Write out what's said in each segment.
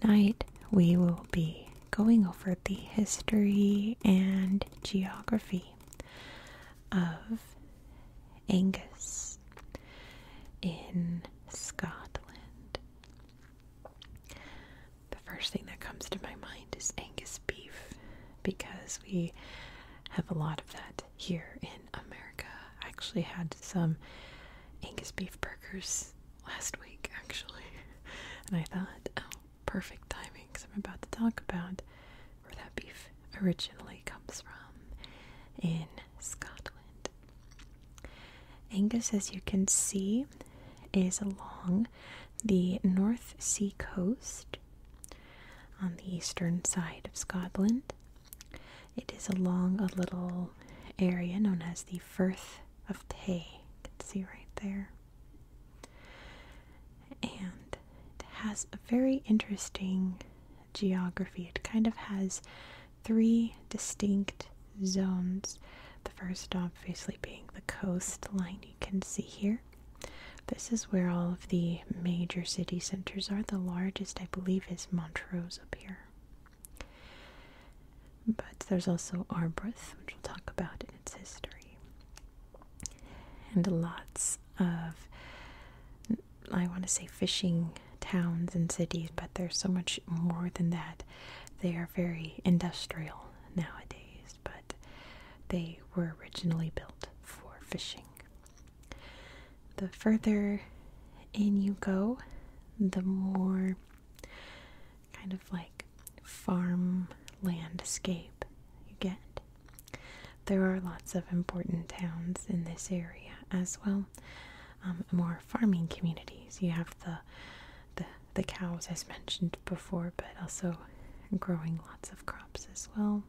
Tonight we will be going over the history and geography of Angus in Scotland. The first thing that comes to my mind is Angus beef because we have a lot of that here in America. I actually had some Angus beef burgers last week actually, and I thought, oh, perfect timing because I'm about to talk about where that beef originally comes from in Scotland. Angus, as you can see, is along the North Sea coast on the eastern side of Scotland. It is along a little area known as the Firth of Tay. You can see right there. And it has a very interesting geography. It kind of has three distinct zones. The first, obviously, being the coastline you can see here. This is where all of the major city centers are. The largest, I believe, is Montrose up here. But there's also Arbroath, which we'll talk about in its history. And lots of, I want to say fishing towns and cities, but there's so much more than that. They are very industrial nowadays, but they were originally built for fishing. The further in you go, the more kind of like farm landscape you get. There are lots of important towns in this area as well. Um, more farming communities. You have the, the the cows as mentioned before, but also growing lots of crops as well.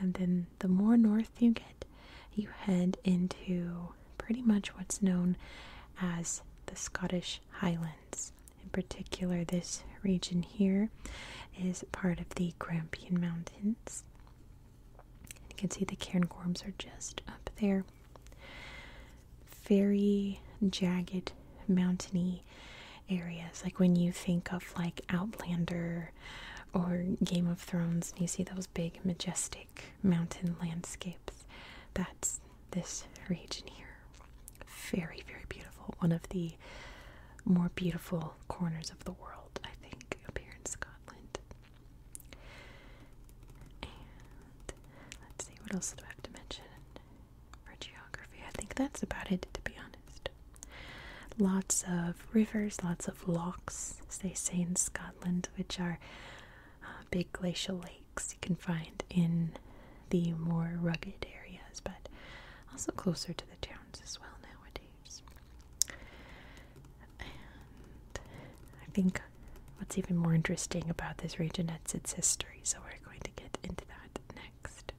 And then the more north you get, you head into pretty much what's known as the Scottish Highlands. In particular, this region here is part of the Grampian Mountains. You can see the cairngorms are just up there. Very jagged, mountainy areas, like when you think of like Outlander or Game of Thrones, and you see those big, majestic mountain landscapes. That's this region here. Very, very beautiful. One of the more beautiful corners of the world, I think, up here in Scotland. And let's see, what else do I have to mention for geography? I think that's about it, to be honest. Lots of rivers, lots of lochs, as they say in Scotland, which are uh, big glacial lakes you can find in the more rugged areas, but also closer to the towns as well nowadays. I think what's even more interesting about this region is its history, so we're going to get into that next.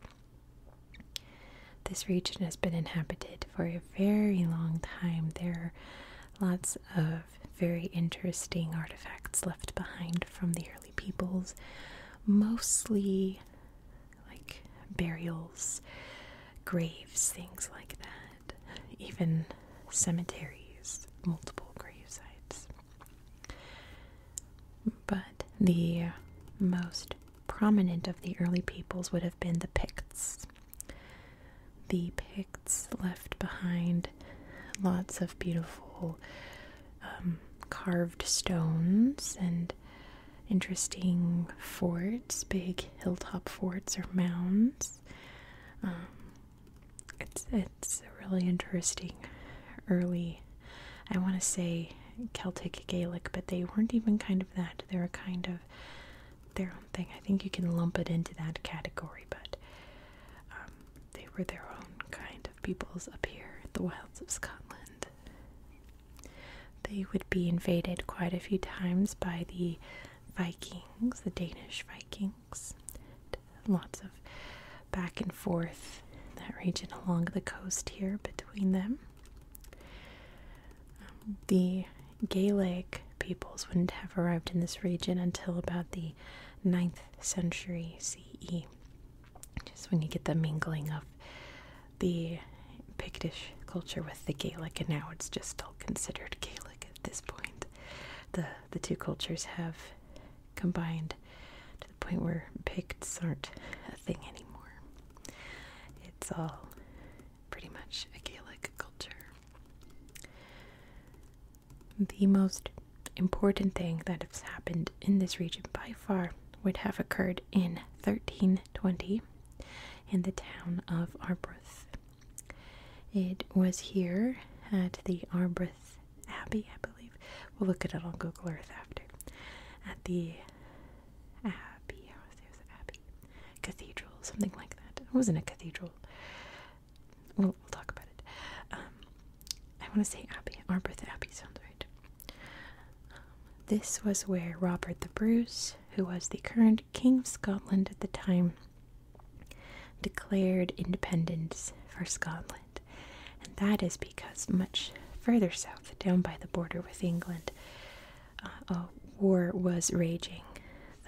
This region has been inhabited for a very long time. There are lots of very interesting artifacts left behind from the early peoples, mostly like burials, graves, things like that, even cemeteries, multiple grave sites. But the most prominent of the early peoples would have been the Picts the Picts left behind lots of beautiful um, carved stones and interesting forts, big hilltop forts or mounds. Um, it's it's really interesting early. I want to say Celtic Gaelic, but they weren't even kind of that. They were kind of their own thing. I think you can lump it into that category, but um, they were their own kind of peoples up here in the wilds of Scotland. They would be invaded quite a few times by the Vikings, the Danish Vikings. Lots of back and forth in that region along the coast here between them. Um, the Gaelic peoples wouldn't have arrived in this region until about the 9th century CE. Just when you get the mingling of the Pictish culture with the Gaelic, and now it's just all considered Gaelic at this point. The, the two cultures have combined to the point where Picts aren't a thing anymore. It's all pretty much a Gaelic culture the most important thing that has happened in this region by far would have occurred in 1320 in the town of Arbroath. It was here at the Arbroath Abbey, I believe. We'll look at it on Google Earth after. At the Abbey, or there's Abbey Cathedral, something like that. It wasn't a cathedral. We'll, talk about it. Um, I want to say Abbey. Arbroath Abbey sounds right. Um, this was where Robert the Bruce, who was the current King of Scotland at the time, declared independence for Scotland. And that is because much further south, down by the border with England, uh, a war was raging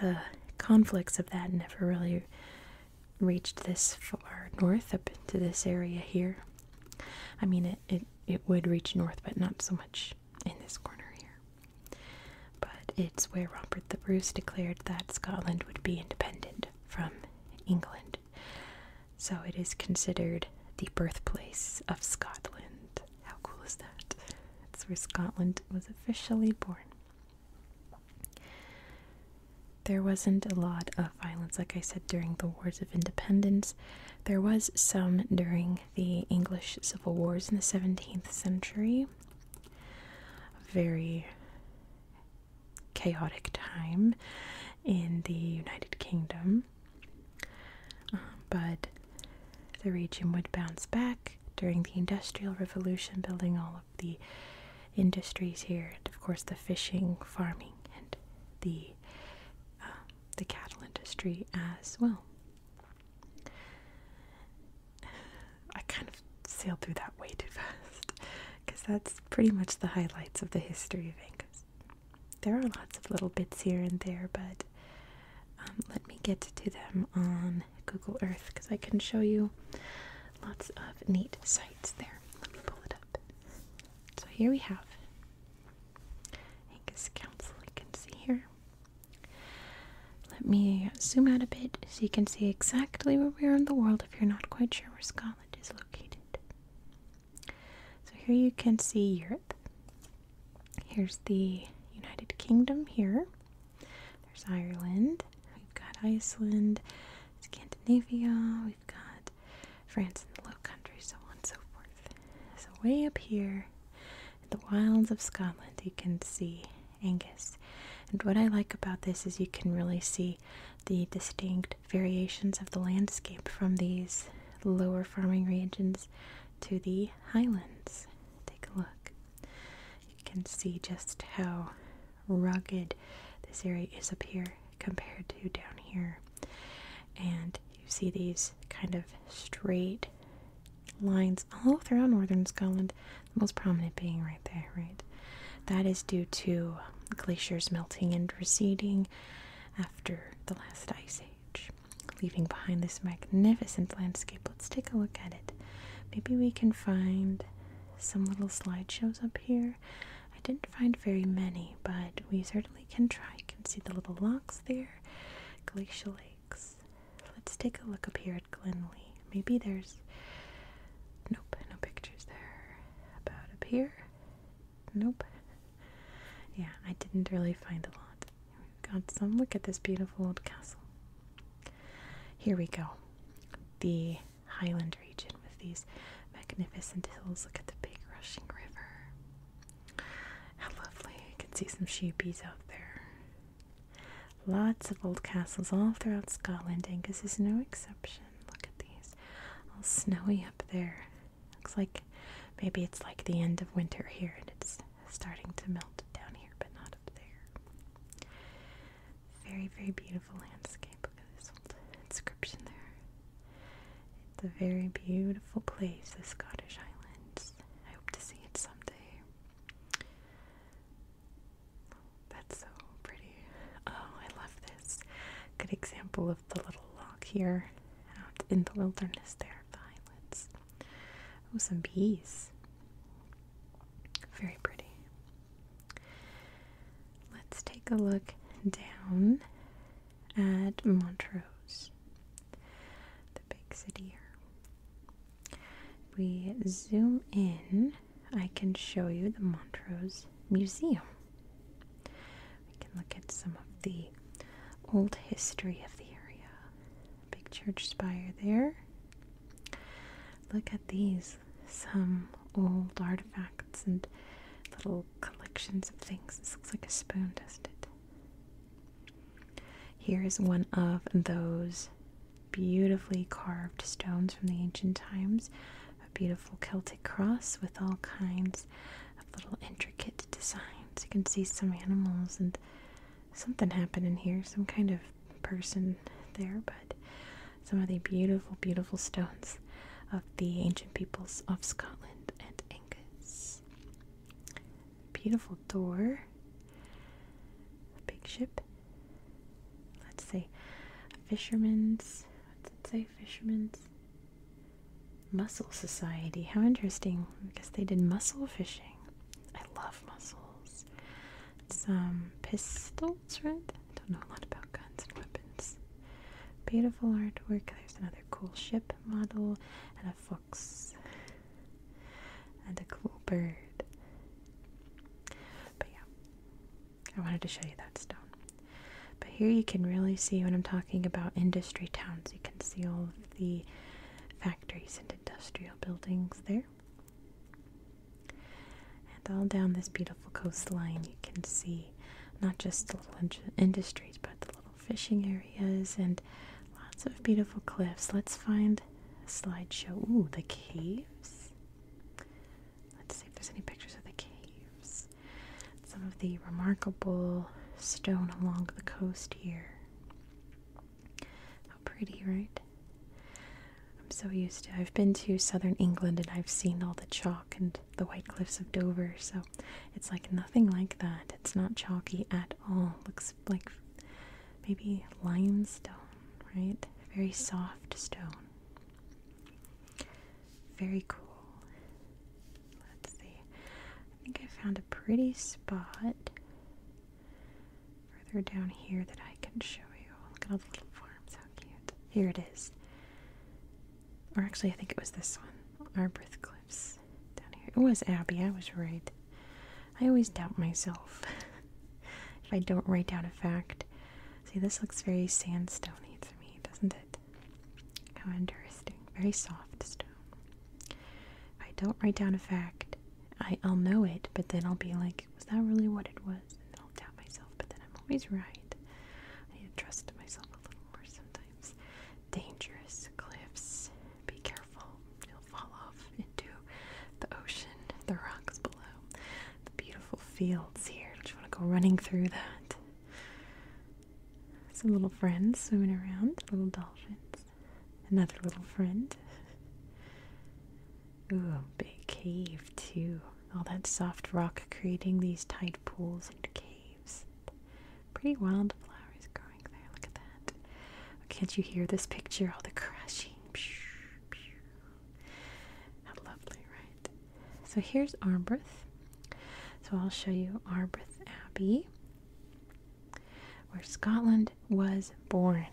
the conflicts of that never really reached this far north up to this area here. I mean, it, it, it would reach north, but not so much in this corner here. But it's where Robert the Bruce declared that Scotland would be independent from England. So it is considered the birthplace of Scotland. How cool is that? It's where Scotland was officially born. There wasn't a lot of violence, like I said, during the Wars of Independence. There was some during the English Civil Wars in the 17th century. very chaotic time in the United Kingdom. Um, but the region would bounce back during the Industrial Revolution, building all of the industries here, and of course the fishing, farming, and the um, the cattle industry as well. I kind of sailed through that way too fast because that's pretty much the highlights of the history of Angus. There are lots of little bits here and there, but um, let me get to them on Google Earth because I can show you lots of neat sites there. Let me pull it up. So here we have Angus Council, you can see here. Let me zoom out a bit so you can see exactly where we are in the world if you're not quite sure where Scotland is located. So here you can see Europe. Here's the United Kingdom here. There's Ireland. We've got Iceland, Scandinavia. We've got France and the Low Countries, so on and so forth. So way up here in the wilds of Scotland, you can see Angus. And what I like about this is you can really see the distinct variations of the landscape from these lower farming regions to the highlands. Take a look. You can see just how rugged this area is up here compared to down here. And you see these kind of straight lines all throughout northern Scotland, the most prominent being right there, right? That is due to glaciers melting and receding after the last ice age, leaving behind this magnificent landscape Let's take a look at it. Maybe we can find some little slideshows up here. I didn't find very many, but we certainly can try. You can see the little locks there, glacial lakes. Let's take a look up here at Glenlee. Maybe there's. Nope, no pictures there. About up here? Nope. Yeah, I didn't really find a lot. We've got some. Look at this beautiful old castle. Here we go. The Highland region with these magnificent hills. Look at the big rushing river. How lovely. You can see some sheepies out there. Lots of old castles all throughout Scotland. Angus is no exception. Look at these. All snowy up there. Looks like maybe it's like the end of winter here and it's starting to melt down here, but not up there. Very, very beautiful landscape. Look at this old inscription there. It's a very beautiful place, the Scottish Islands. I hope to see it someday. That's so pretty. Oh, I love this. Good example of the little lock here out in the wilderness there of the islands. Oh, some bees. Very pretty. Let's take a look down at Montrose, the big city here. we zoom in, I can show you the Montrose Museum. We can look at some of the old history of the area, Big church spire there. Look at these some old artifacts and little collections of things. This looks like a spoon, doesn't it? Here is one of those beautifully carved stones from the ancient times. A beautiful Celtic cross with all kinds of little intricate designs. You can see some animals and something happened in here, some kind of person there, but some of the beautiful, beautiful stones of the ancient peoples of Scotland and Angus. Beautiful door. Big ship. Let's say fishermen's. Let's say fishermen's mussel society. How interesting. I guess they did mussel fishing. I love muzzles. Some um, pistols, right? don't know a lot about guns and weapons. Beautiful artwork. There's another cool ship model and a fox and a cool bird. But yeah, I wanted to show you that stone. But here you can really see when I'm talking about industry towns. You can see all the factories and industrial buildings there. And all down this beautiful coastline, you can see not just the little industries, but the little fishing areas and lots of beautiful cliffs. Let's find a slideshow. Ooh, the caves. Let's see if there's any pictures of the caves. Some of the remarkable stone along the coast here. How pretty, right? I'm so used to I've been to southern England and I've seen all the chalk and the white cliffs of Dover, so it's like nothing like that. It's not chalky at all. Looks like maybe limestone, right? Very soft stone. Very cool. Let's see. I think I found a pretty spot further down here that I can show you. Look at all the little farms, how cute. Here it is. Or actually, I think it was this one. Arbroath Cliffs. Down here. It was Abby. I was right. I always doubt myself if I don't write down a fact. See, this looks very sandstony to me, doesn't it? How interesting. Very soft stone. I don't write down a fact. I, will know it, but then I'll be like, was that really what it was? And I'll doubt myself, but then I'm always right. I need to trust myself a little more sometimes. Dangerous cliffs. Be careful. You'll fall off into the ocean, the rocks below, the beautiful fields here. Don't you want to go running through that? Some little friends swimming around, little dolphins. Another little friend. Ooh, big cave too. All that soft rock creating these tide pools and caves. Pretty wildflowers growing there, look at that. can't you hear this picture? All the crashing. How lovely, right? So here's Arbroath. So I'll show you Arbroath Abbey where Scotland was born.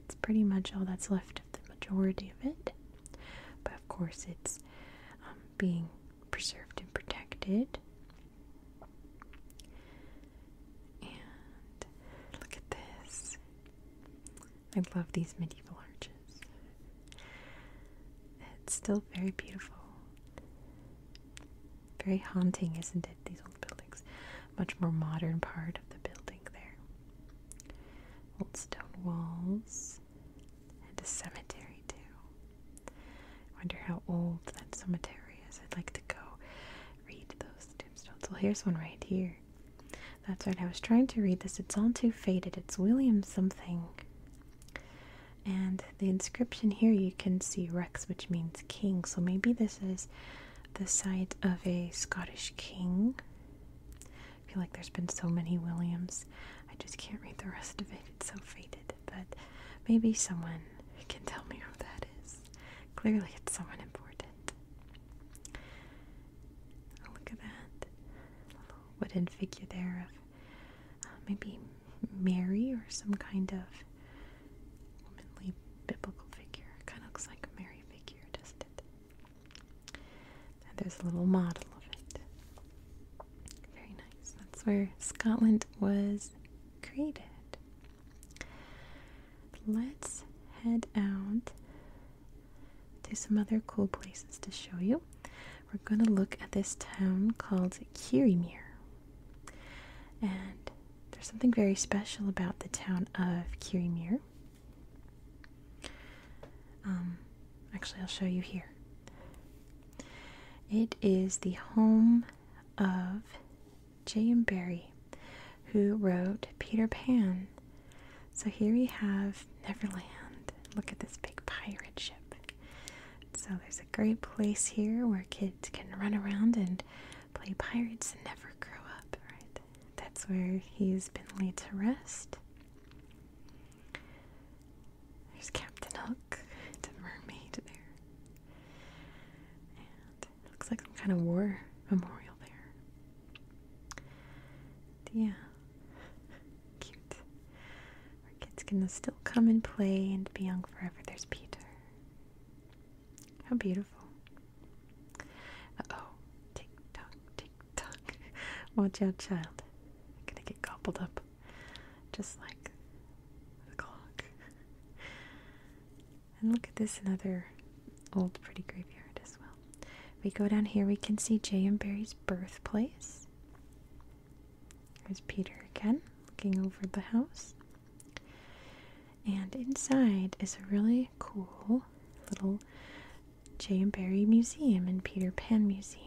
That's pretty much all that's left of the majority of it. But of course, it's um, being preserved and protected. And look at this. I love these medieval arches. It's still very beautiful. Very haunting, isn't it? These old buildings. Much more modern part of the building there. Old stone walls and a cemetery too. I wonder how old that cemetery is. I'd like to go read those tombstones. Well, here's one right here. That's right. I was trying to read this. It's all too faded. It's William something. And the inscription here you can see Rex, which means king. So maybe this is the site of a Scottish king. I feel like there's been so many Williams. I just can't read the rest of it. It's so faded. But maybe someone can tell me who that is. Clearly, it's someone important. look at that. little wooden figure there of uh, maybe Mary or some kind of womanly biblical figure. Kind of looks like a Mary figure, doesn't it? And there's a little model of it. Very nice. That's where Scotland was created. Let's head out to some other cool places to show you. We're going to look at this town called Kirriemuir. And there's something very special about the town of Kirimir. Um, actually, I'll show you here. It is the home of J.M. Barrie, who wrote Peter Pan. So here we have Neverland. Look at this big pirate ship. So there's a great place here where kids can run around and play pirates and never grow up, right? That's where he's been laid to rest. There's Captain Hook, the mermaid there. And looks like some kind of war memorial there. Yeah. Cute. Where kids can still come and play and be young forever. There's Peter. How beautiful. Uh oh. Tick tock, tick tock. Watch out, child. I'm gonna get cobbled up. Just like the clock. And look at this another old pretty graveyard as well. If We go down here, we can see J. M. Barry's birthplace. There's Peter again, looking over the house. And inside is a really cool little J. and Museum and Peter Pan Museum.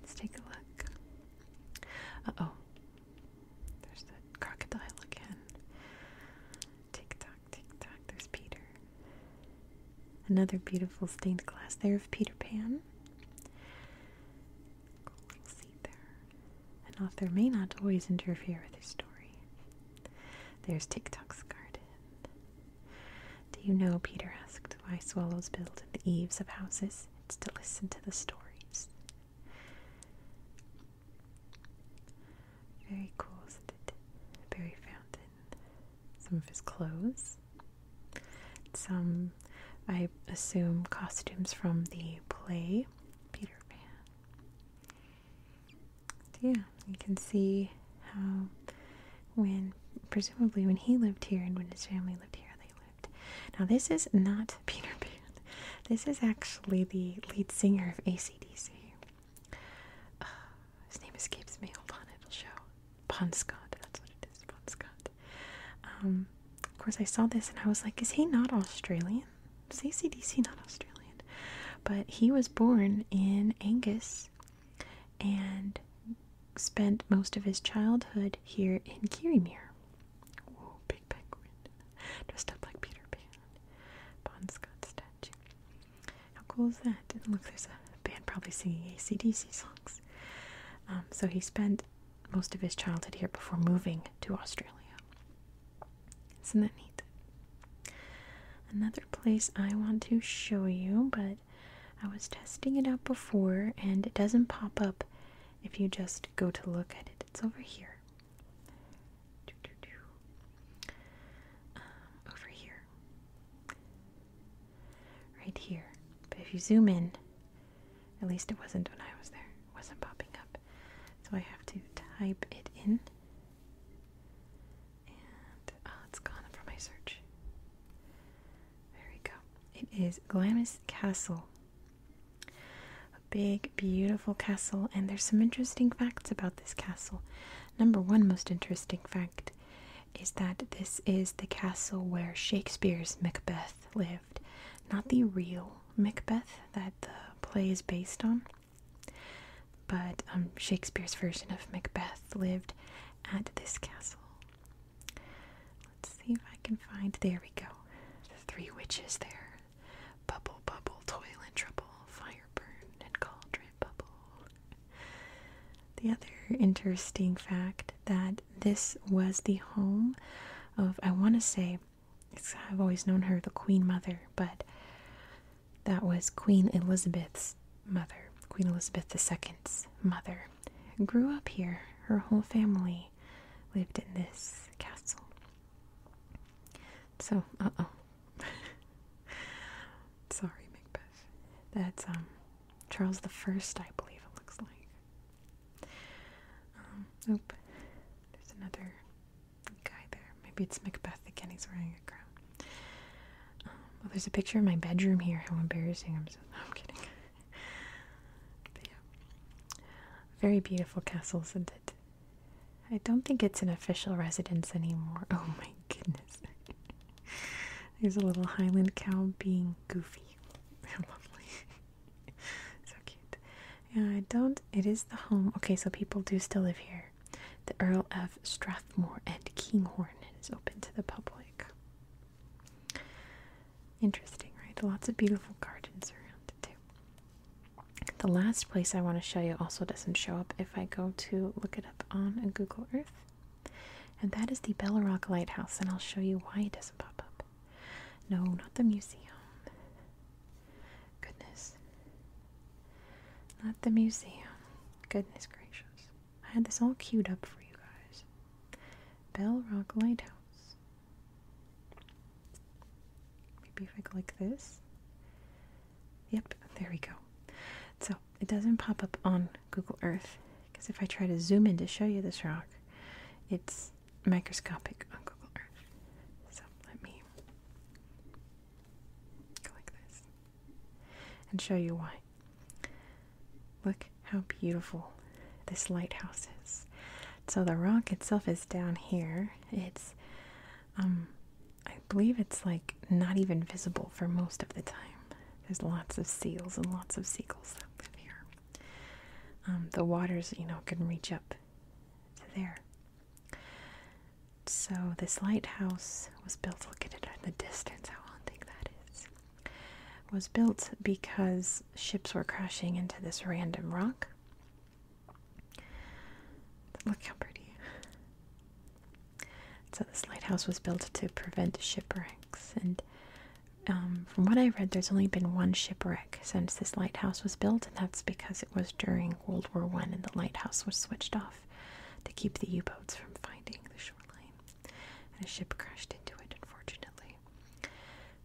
Let's take a look. Uh oh. There's the crocodile again. Tick tock, tick tock. There's Peter. Another beautiful stained glass there of Peter Pan. Lexi there. An author may not always interfere with his story. There's TikTok's garden. Do you know, Peter asked, why swallows build in the eaves of houses? It's to listen to the stories. Very cool, isn't it? Berry fountain. Some of his clothes. Some, I assume, costumes from the play Peter Pan. So yeah, you can see how when presumably when he lived here and when his family lived here, they lived. Now this is not Peter Pan. This is actually the lead singer of ACDC. Uh, his name escapes me. Hold on, it'll show. Bon Scott. That's what it is. Bon Scott. Um, of course, I saw this and I was like, is he not Australian? Is ACDC not Australian? But he was born in Angus and spent most of his childhood here in Kirriemuir. Whoa, big penguin. Dressed up like Peter Pan. Bon Scott statue. How cool is that? And look, there's a band probably singing ACDC songs. Um, so he spent most of his childhood here before moving to Australia. Isn't that neat? Another place I want to show you, but I was testing it out before and it doesn't pop up if you just go to look at it. It's over here. Um, over here. Right here. But if you zoom in, at least it wasn't when I was there. It wasn't popping up. So I have to type it in. And oh, it's gone from my search. There we go. It is Glamis Castle. A big, beautiful castle, and there's some interesting facts about this castle. Number one most interesting fact is that this is the castle where Shakespeare's Macbeth lived, not the real Macbeth that the play is based on, but um, Shakespeare's version of Macbeth lived at this castle. Let's see if I can find. There we go. The three witches there. Bubble, bubble, toil and trouble, fire burn and cauldron bubble. The other interesting fact that this was the home of, I want to say, I've always known her the Queen Mother, but that was Queen Elizabeth's mother, Queen Elizabeth II's mother. Grew up here, her whole family lived in this castle. So, uh oh. Sorry, Macbeth. That's um Charles the First, I believe it looks like. Um, oop. There's another guy there. Maybe it's Macbeth again. He's wearing a crown. Um, well, there's a picture of my bedroom here. How embarrassing. I'm, I'm kidding. but yeah. Very beautiful castle, isn't it? I don't think it's an official residence anymore. Oh my goodness. There's a little Highland cow being goofy. They're lovely. so cute. Yeah, I don't. It is the home. Okay, so people do still live here. The Earl of Strathmore and Kinghorn is open to the public. Interesting, right? Lots of beautiful gardens around it too. The last place I want to show you also doesn't show up if I go to look it up on Google Earth. And that is the Bellarok Lighthouse, and I'll show you why it doesn't pop up. No, not the museum. Goodness. Not the museum. Goodness gracious. I had this all queued up for you guys. Bellarok Lighthouse. Maybe if I click this. Yep, there we go. So it doesn't pop up on Google Earth. Because if I try to zoom in to show you this rock, it's microscopic on Google Earth. So let me go like this and show you why. Look how beautiful this lighthouse is. So the rock itself is down here. It's, um, I believe it's like not even visible for most of the time. There's lots of seals and lots of seagulls out live here. Um, the waters, you know, can reach up there. So this lighthouse was built. Look at it in the distance. How long think that is? Was built because ships were crashing into this random rock. Look how pretty. So this lighthouse was built to prevent shipwrecks and um, from what I read, there's only been one shipwreck since this lighthouse was built, and that's because it was during World War One, and the lighthouse was switched off to keep the U-boats from finding the shoreline. And a ship crashed into it, unfortunately.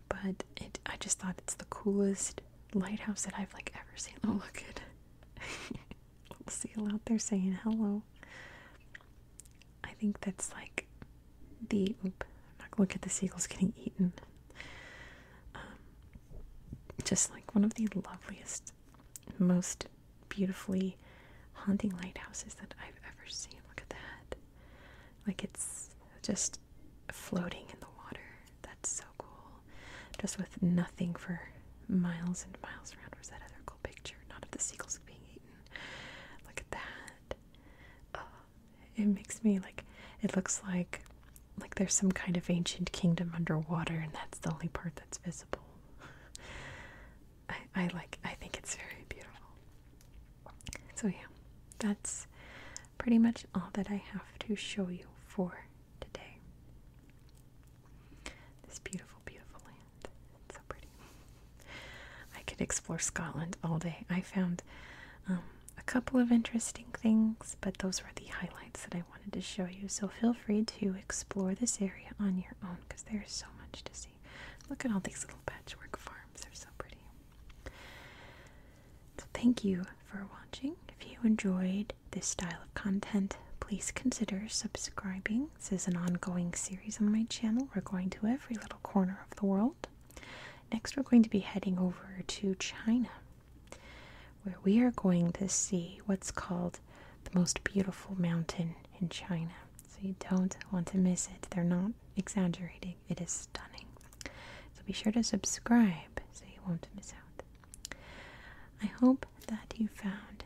But I just thought it's the coolest lighthouse that I've like ever seen. Oh, look at it! seal out there saying hello. I think that's like the. Oop, look at the seagulls getting eaten. Um, just like one of the loveliest, most beautifully haunting lighthouses that I've ever seen. Look at that. Like it's just floating in the water. That's so cool. Just with nothing for miles and miles around. Where's that other cool picture? Not of the seagulls being eaten. Look at that. Uh, it makes me like it looks like like there's some kind of ancient kingdom underwater and that's the only part that's visible. I I like I think it's very beautiful. So yeah, that's pretty much all that I have to show you for today. This beautiful, beautiful land so pretty. I could explore Scotland all day. I found um, a couple of interesting things, but those were the highlights that I wanted to show you. So feel free to explore this area on your own because there's so much to see. Look at all these little patchwork farms, they're so pretty. So thank you for watching. If you enjoyed this style of content, please consider subscribing this is an ongoing series on my channel. We're going to every little corner of the world. Next, we're going to be heading over to China, where we are going to see what's called the most beautiful mountain in China. So, you don't want to miss it. They're not exaggerating, it is stunning. So, be sure to subscribe so you won't miss out. I hope that you found